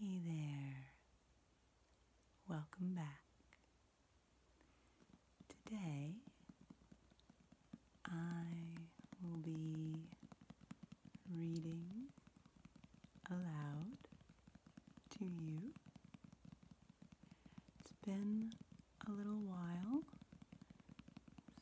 Hey there, welcome back. Today I will be reading aloud to you. It's been a little while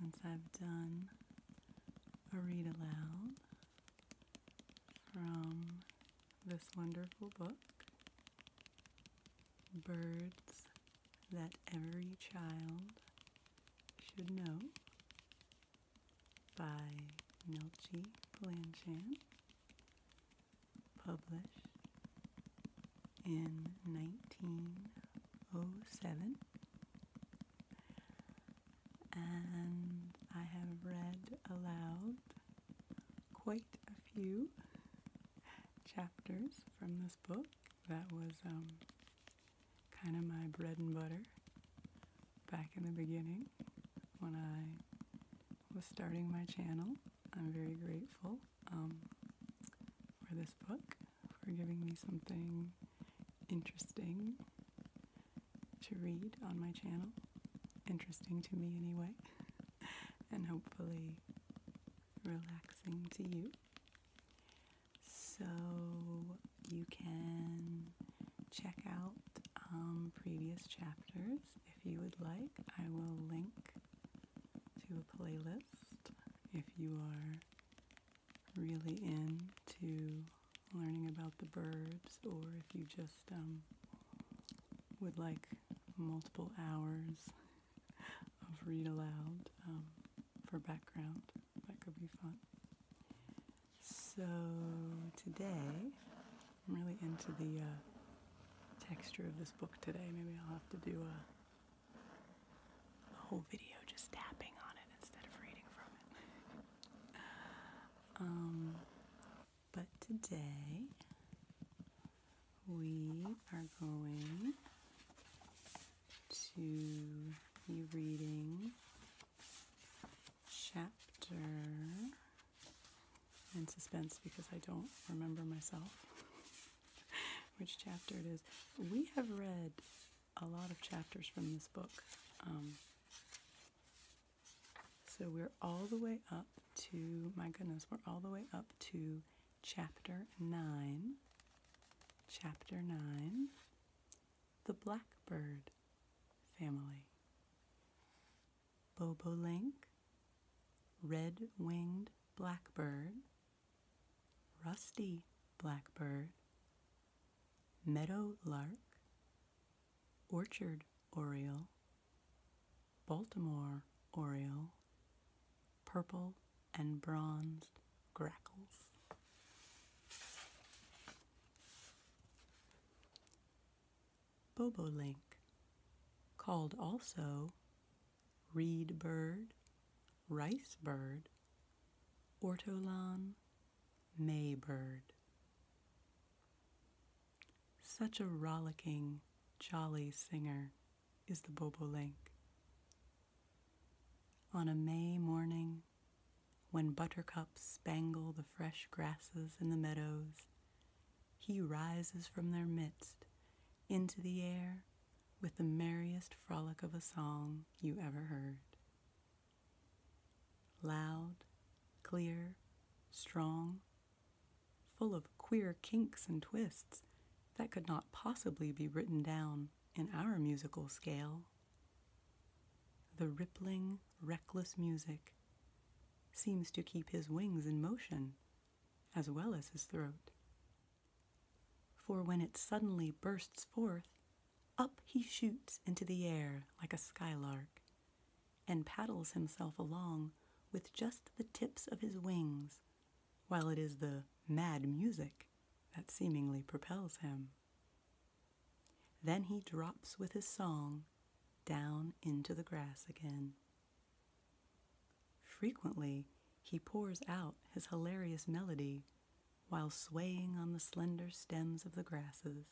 since I've done a read aloud from this wonderful book, Birds That Every Child Should Know by Milchi Blanchan, published in 1907 and I have read aloud quite a few chapters from this book. That was um, kind of my bread and butter back in the beginning when I was starting my channel. I'm very grateful um, for this book, for giving me something interesting to read on my channel. Interesting to me, anyway, and hopefully relaxing to you. So you can check out um, previous chapters if you would like. I will link to a playlist if you are really into learning about the birds, or if you just um, would like multiple hours of read aloud um, for background, that could be fun. So today, I'm really into the uh, texture of this book today. Maybe I'll have to do a whole video just tapping on it instead of reading from it. Um, but today we are going to be reading chapter in suspense because I don't remember myself which chapter it is. We have read a lot of chapters from this book. Um, so we're all the way up to, my goodness, we're all the way up to chapter 9. Chapter 9 The Blackbird Family. Bobolink, Red Winged Blackbird, Rusty Blackbird, meadow lark, orchard oriole, Baltimore oriole, purple and bronze grackles. Bobolink, called also reed bird, rice bird, ortolan, May bird. Such a rollicking, jolly singer is the bobolink. On a May morning, when buttercups spangle the fresh grasses in the meadows, he rises from their midst into the air with the merriest frolic of a song you ever heard. Loud, clear, strong, full of queer kinks and twists that could not possibly be written down in our musical scale. The rippling, reckless music seems to keep his wings in motion as well as his throat. For when it suddenly bursts forth, up he shoots into the air like a skylark, and paddles himself along with just the tips of his wings, while it is the mad music that seemingly propels him. Then he drops with his song down into the grass again. Frequently, he pours out his hilarious melody while swaying on the slender stems of the grasses,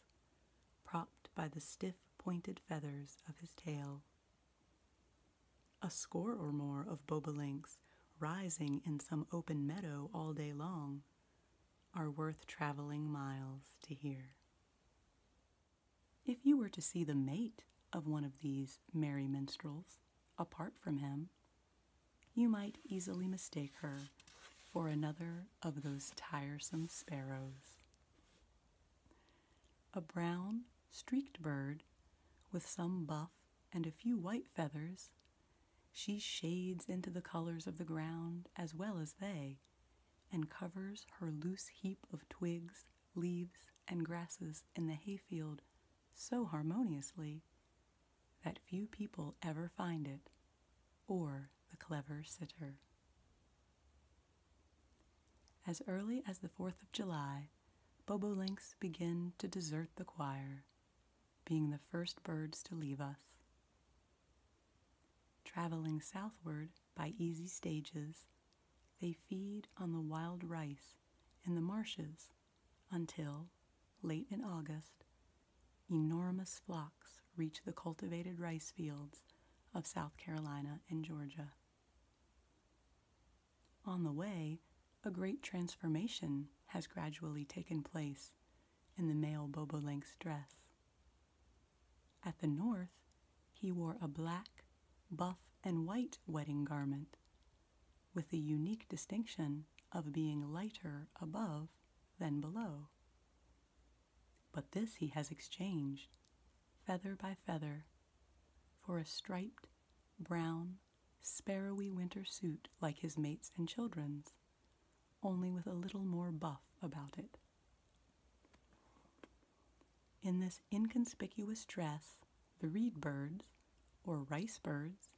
propped by the stiff pointed feathers of his tail. A score or more of bobolinks rising in some open meadow all day long are worth traveling miles to hear. If you were to see the mate of one of these merry minstrels, apart from him, you might easily mistake her for another of those tiresome sparrows. A brown, streaked bird with some buff and a few white feathers, she shades into the colors of the ground as well as they, and covers her loose heap of twigs, leaves, and grasses in the hayfield so harmoniously that few people ever find it, or the clever sitter. As early as the 4th of July, bobolinks begin to desert the choir, being the first birds to leave us. Traveling southward by easy stages, they feed on the wild rice in the marshes until, late in August, enormous flocks reach the cultivated rice fields of South Carolina and Georgia. On the way, a great transformation has gradually taken place in the male Bobolink's dress. At the north, he wore a black, buff, and white wedding garment with the unique distinction of being lighter above than below. But this he has exchanged, feather by feather, for a striped, brown, sparrowy winter suit like his mates and children's, only with a little more buff about it. In this inconspicuous dress, the reed birds, or rice birds,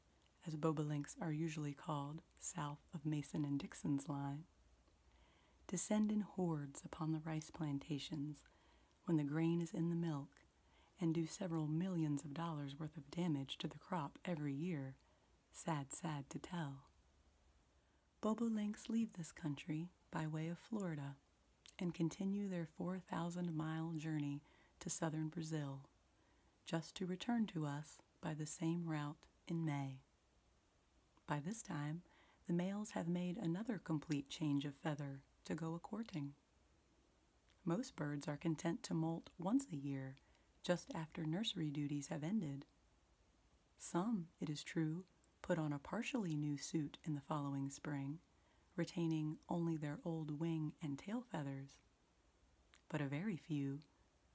as bobolinks are usually called south of Mason and Dixon's line, descend in hordes upon the rice plantations when the grain is in the milk and do several millions of dollars worth of damage to the crop every year, sad, sad to tell. Bobolinks leave this country by way of Florida and continue their 4,000 mile journey to southern Brazil, just to return to us by the same route in May. By this time, the males have made another complete change of feather to go a courting. Most birds are content to molt once a year, just after nursery duties have ended. Some, it is true, put on a partially new suit in the following spring, retaining only their old wing and tail feathers. But a very few,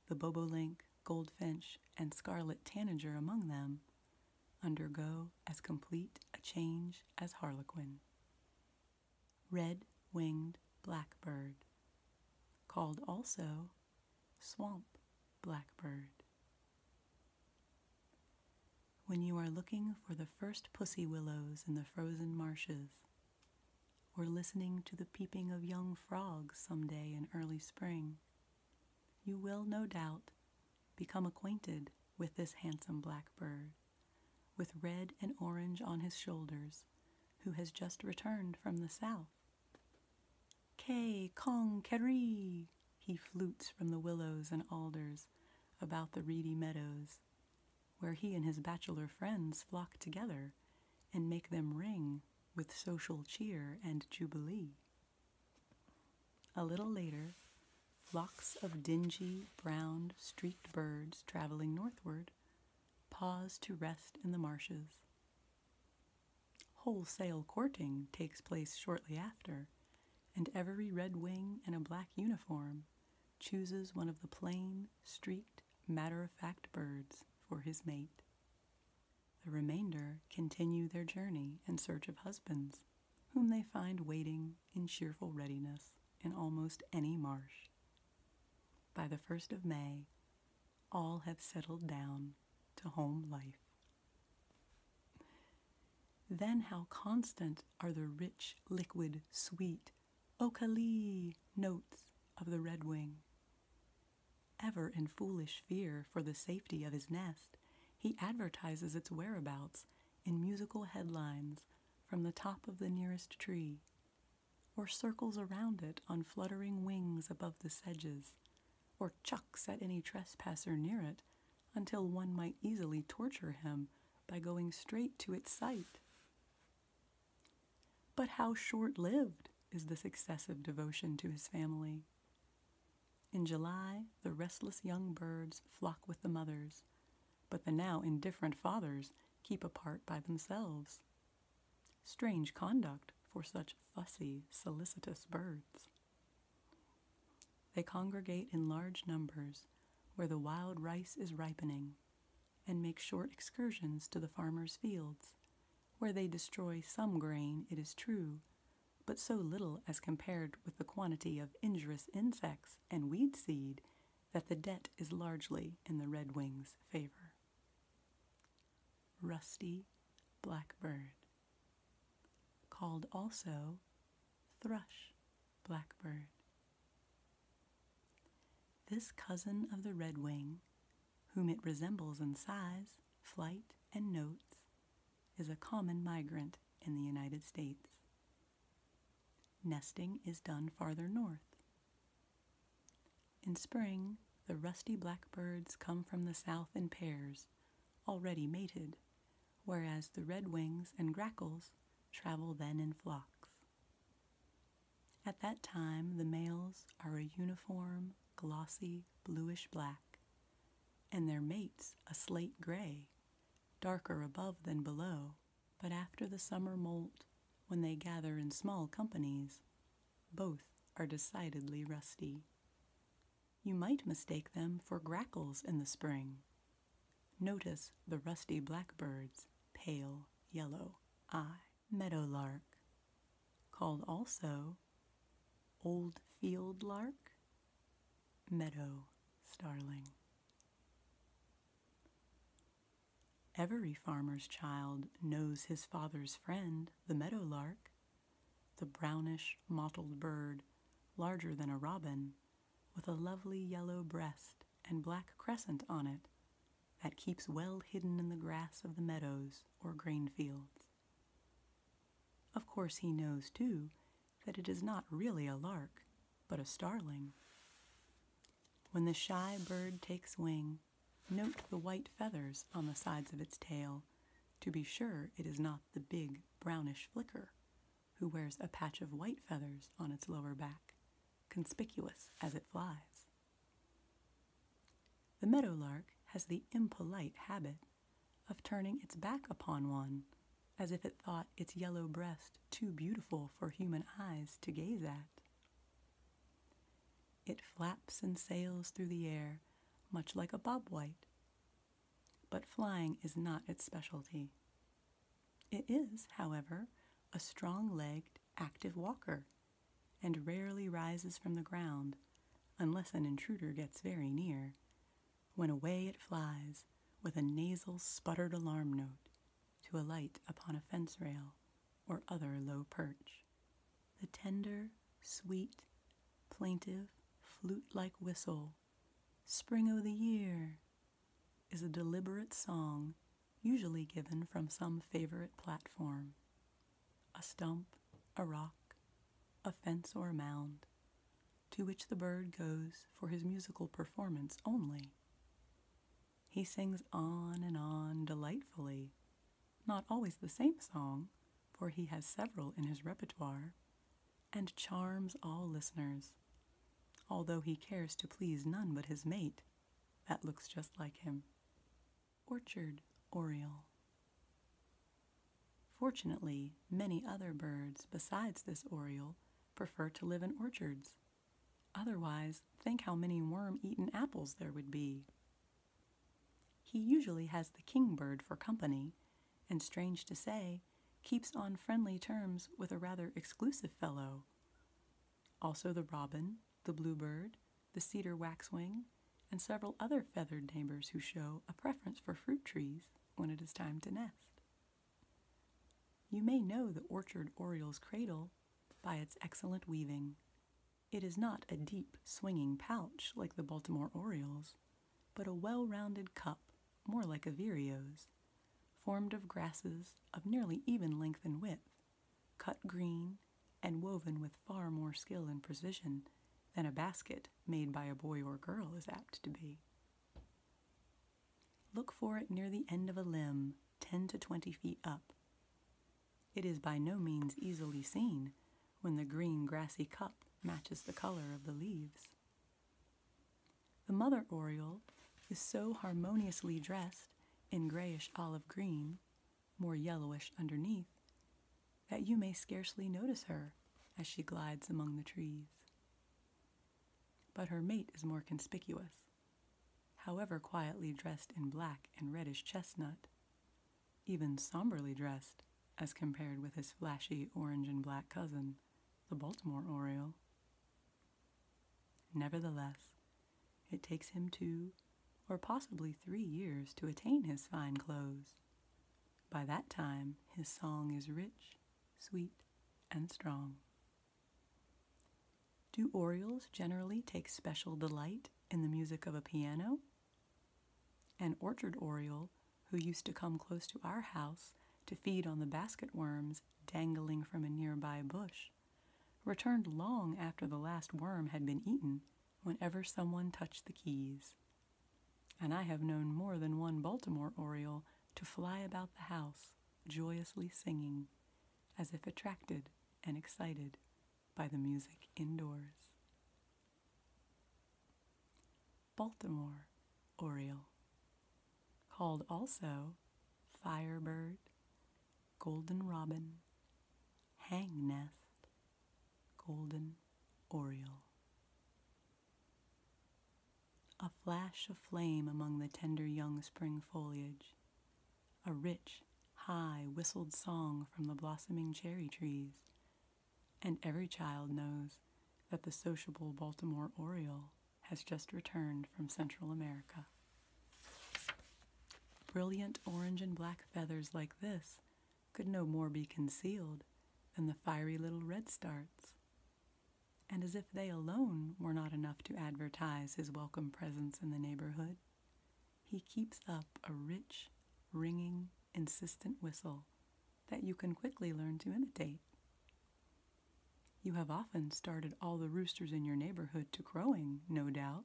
the bobolink, goldfinch, and scarlet tanager among them, undergo as complete a change as harlequin. Red winged blackbird, called also swamp blackbird. When you are looking for the first pussy willows in the frozen marshes, or listening to the peeping of young frogs some day in early spring, you will no doubt become acquainted with this handsome blackbird, with red and orange on his shoulders, who has just returned from the south. Kay, kong, keree, he flutes from the willows and alders about the reedy meadows, where he and his bachelor friends flock together and make them ring with social cheer and jubilee. A little later, flocks of dingy, brown, streaked birds traveling northward pause to rest in the marshes. Wholesale courting takes place shortly after, and every red wing in a black uniform chooses one of the plain, streaked, matter of fact birds for his mate. The remainder continue their journey in search of husbands, whom they find waiting in cheerful readiness in almost any marsh. By the first of May, all have settled down to home life. Then, how constant are the rich, liquid, sweet, Okalee notes of the redwing. Ever in foolish fear for the safety of his nest, he advertises its whereabouts in musical headlines from the top of the nearest tree, or circles around it on fluttering wings above the sedges, or chucks at any trespasser near it until one might easily torture him by going straight to its site. But how short lived is this excessive devotion to his family? In July, the restless young birds flock with the mothers, but the now indifferent fathers keep apart by themselves. Strange conduct for such fussy, solicitous birds they congregate in large numbers where the wild rice is ripening and make short excursions to the farmers' fields, where they destroy some grain, it is true, but so little as compared with the quantity of injurious insects and weed seed that the debt is largely in the redwing's favor. Rusty blackbird, called also thrush blackbird. This cousin of the redwing, whom it resembles in size, flight, and notes, is a common migrant in the United States. Nesting is done farther north. In spring, the rusty blackbirds come from the south in pairs, already mated, whereas the redwings and grackles travel then in flocks. At that time, the males are a uniform, glossy, bluish black, and their mates a slate gray, darker above than below, but after the summer molt, when they gather in small companies, both are decidedly rusty. You might mistake them for grackles in the spring, Notice the rusty blackbird's pale yellow eye. Meadowlark, called also old field lark, meadow starling. Every farmer's child knows his father's friend, the meadowlark, the brownish mottled bird, larger than a robin, with a lovely yellow breast and black crescent on it that keeps well hidden in the grass of the meadows or grain fields. Of course, he knows too that it is not really a lark, but a starling. When the shy bird takes wing, note the white feathers on the sides of its tail to be sure it is not the big brownish flicker who wears a patch of white feathers on its lower back, conspicuous as it flies. The meadow lark has the impolite habit of turning its back upon one as if it thought its yellow breast too beautiful for human eyes to gaze at. It flaps and sails through the air, much like a bobwhite, but flying is not its specialty. It is, however, a strong legged, active walker and rarely rises from the ground unless an intruder gets very near, when away it flies with a nasal sputtered alarm note to alight upon a fence rail or other low perch. The tender, sweet, plaintive, flute like whistle Spring o' the Year, is a deliberate song usually given from some favorite platform a stump, a rock, a fence, or a mound, to which the bird goes for his musical performance only. He sings on and on delightfully, not always the same song, for he has several in his repertoire, and charms all listeners. Although he cares to please none but his mate, that looks just like him. Orchard Oriole. Fortunately, many other birds besides this oriole prefer to live in orchards. Otherwise, think how many worm eaten apples there would be. He usually has the kingbird for company and strange to say, keeps on friendly terms with a rather exclusive fellow. Also, the robin, the bluebird, the cedar waxwing, and several other feathered neighbors who show a preference for fruit trees when it is time to nest. You may know the orchard oriole's cradle by its excellent weaving. It is not a deep, swinging pouch like the Baltimore orioles, but a well rounded cup, more like a vireo's, formed of grasses of nearly even length and width, cut green and woven with far more skill and precision than a basket made by a boy or girl is apt to be. Look for it near the end of a limb, 10 to 20 feet up. It is by no means easily seen when the green grassy cup matches the color of the leaves. The mother oriole is so harmoniously dressed in grayish olive green, more yellowish underneath, that you may scarcely notice her as she glides among the trees. But her mate is more conspicuous, however quietly dressed in black and reddish chestnut, even somberly dressed as compared with his flashy orange and black cousin, the Baltimore Oriole. Nevertheless, it takes him two or possibly three years to attain his fine clothes. By that time, his song is rich, sweet, and strong. Do Orioles generally take special delight in the music of a piano an orchard oriole, who used to come close to our house to feed on the basket worms dangling from a nearby bush, returned long after the last worm had been eaten whenever someone touched the keys. And I have known more than one Baltimore oriole to fly about the house, joyously singing, as if attracted and excited by the music indoors. Baltimore Oriole, called also Firebird, Golden Robin, Hang Nest, Golden Oriole. A flash of flame among the tender young spring foliage, a rich, high, whistled song from the blossoming cherry trees, and every child knows that the sociable Baltimore Oriole has just returned from Central America. Brilliant orange and black feathers like this could no more be concealed than the fiery little redstarts. And as if they alone were not enough to advertise his welcome presence in the neighborhood, he keeps up a rich, ringing insistent whistle that you can quickly learn to imitate. You have often started all the roosters in your neighborhood to crowing, no doubt.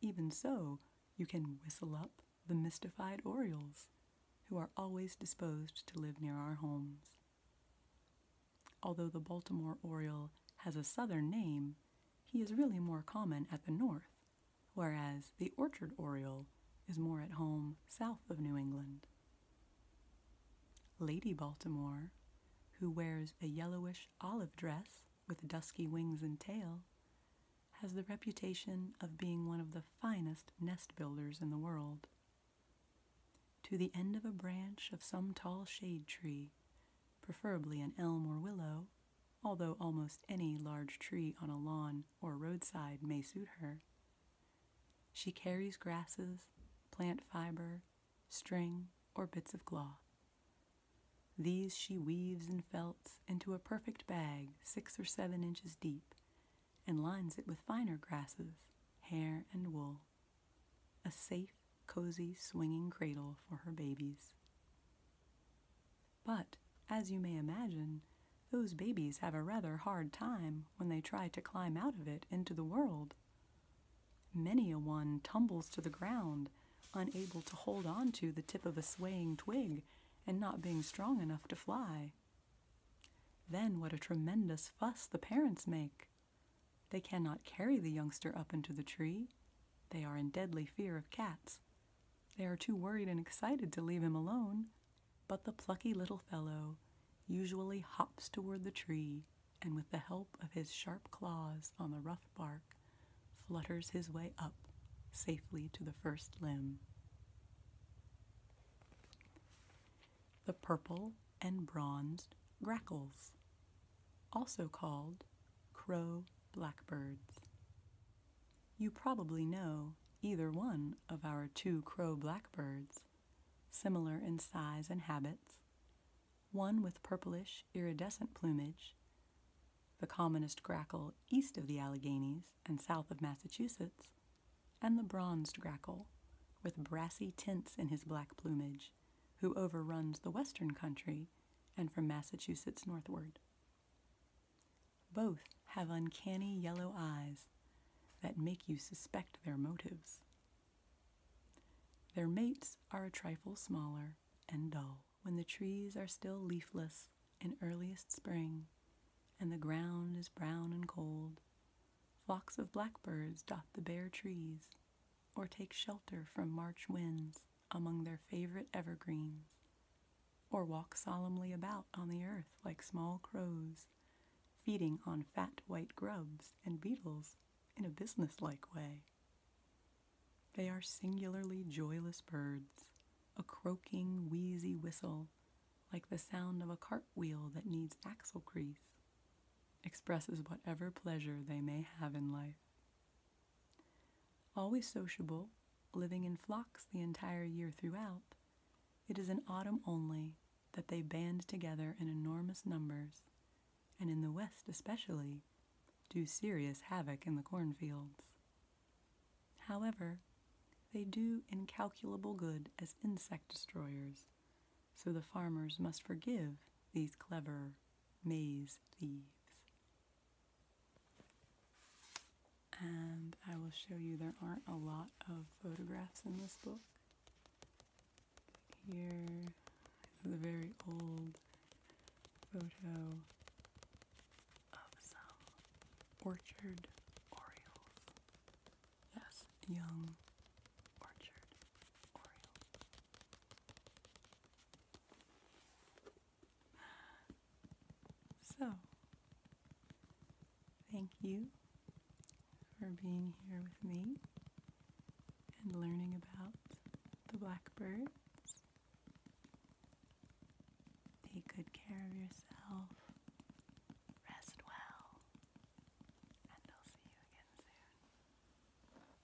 Even so, you can whistle up the mystified orioles, who are always disposed to live near our homes. Although the Baltimore Oriole has a southern name, he is really more common at the north, whereas the orchard oriole is more at home south of New England. Lady Baltimore, who wears a yellowish olive dress with dusky wings and tail, has the reputation of being one of the finest nest builders in the world. To the end of a branch of some tall shade tree, preferably an elm or willow, although almost any large tree on a lawn or roadside may suit her. She carries grasses, plant fiber, string, or bits of cloth. These she weaves and felts into a perfect bag six or seven inches deep and lines it with finer grasses, hair, and wool. A safe, cozy, swinging cradle for her babies. But, as you may imagine, those babies have a rather hard time when they try to climb out of it into the world. Many a one tumbles to the ground, unable to hold on to the tip of a swaying twig and not being strong enough to fly. Then what a tremendous fuss the parents make! They cannot carry the youngster up into the tree. They are in deadly fear of cats they are too worried and excited to leave him alone, but the plucky little fellow usually hops toward the tree and, with the help of his sharp claws on the rough bark, flutters his way up safely to the first limb. The purple and bronzed grackles, also called crow blackbirds. You probably know either one of our two crow blackbirds, similar in size and habits, one with purplish iridescent plumage, the commonest grackle east of the Alleghanies and south of Massachusetts, and the bronzed grackle with brassy tints in his black plumage, who overruns the western country and from Massachusetts northward. Both have uncanny yellow eyes that make you suspect their motives. Their mates are a trifle smaller and dull when the trees are still leafless in earliest spring and the ground is brown and cold. Flocks of blackbirds dot the bare trees or take shelter from March winds among their favorite evergreens, or walk solemnly about on the earth like small crows, feeding on fat white grubs and beetles in a businesslike way. They are singularly joyless birds, a croaking, wheezy whistle, like the sound of a cartwheel that needs axle grease, expresses whatever pleasure they may have in life. Always sociable, living in flocks the entire year throughout, it is in autumn only that they band together in enormous numbers, and in the West especially, do serious havoc in the cornfields. However, they do incalculable good as insect destroyers, so the farmers must forgive these clever maize thieves. And I will show you there aren't a lot of photographs in this book. Here, a very old photo of some orchard orioles. Yes, young orchard oriole. So, thank you for being here with me and learning about the blackbirds. Take good care of yourself. Rest well. And I'll see you again soon.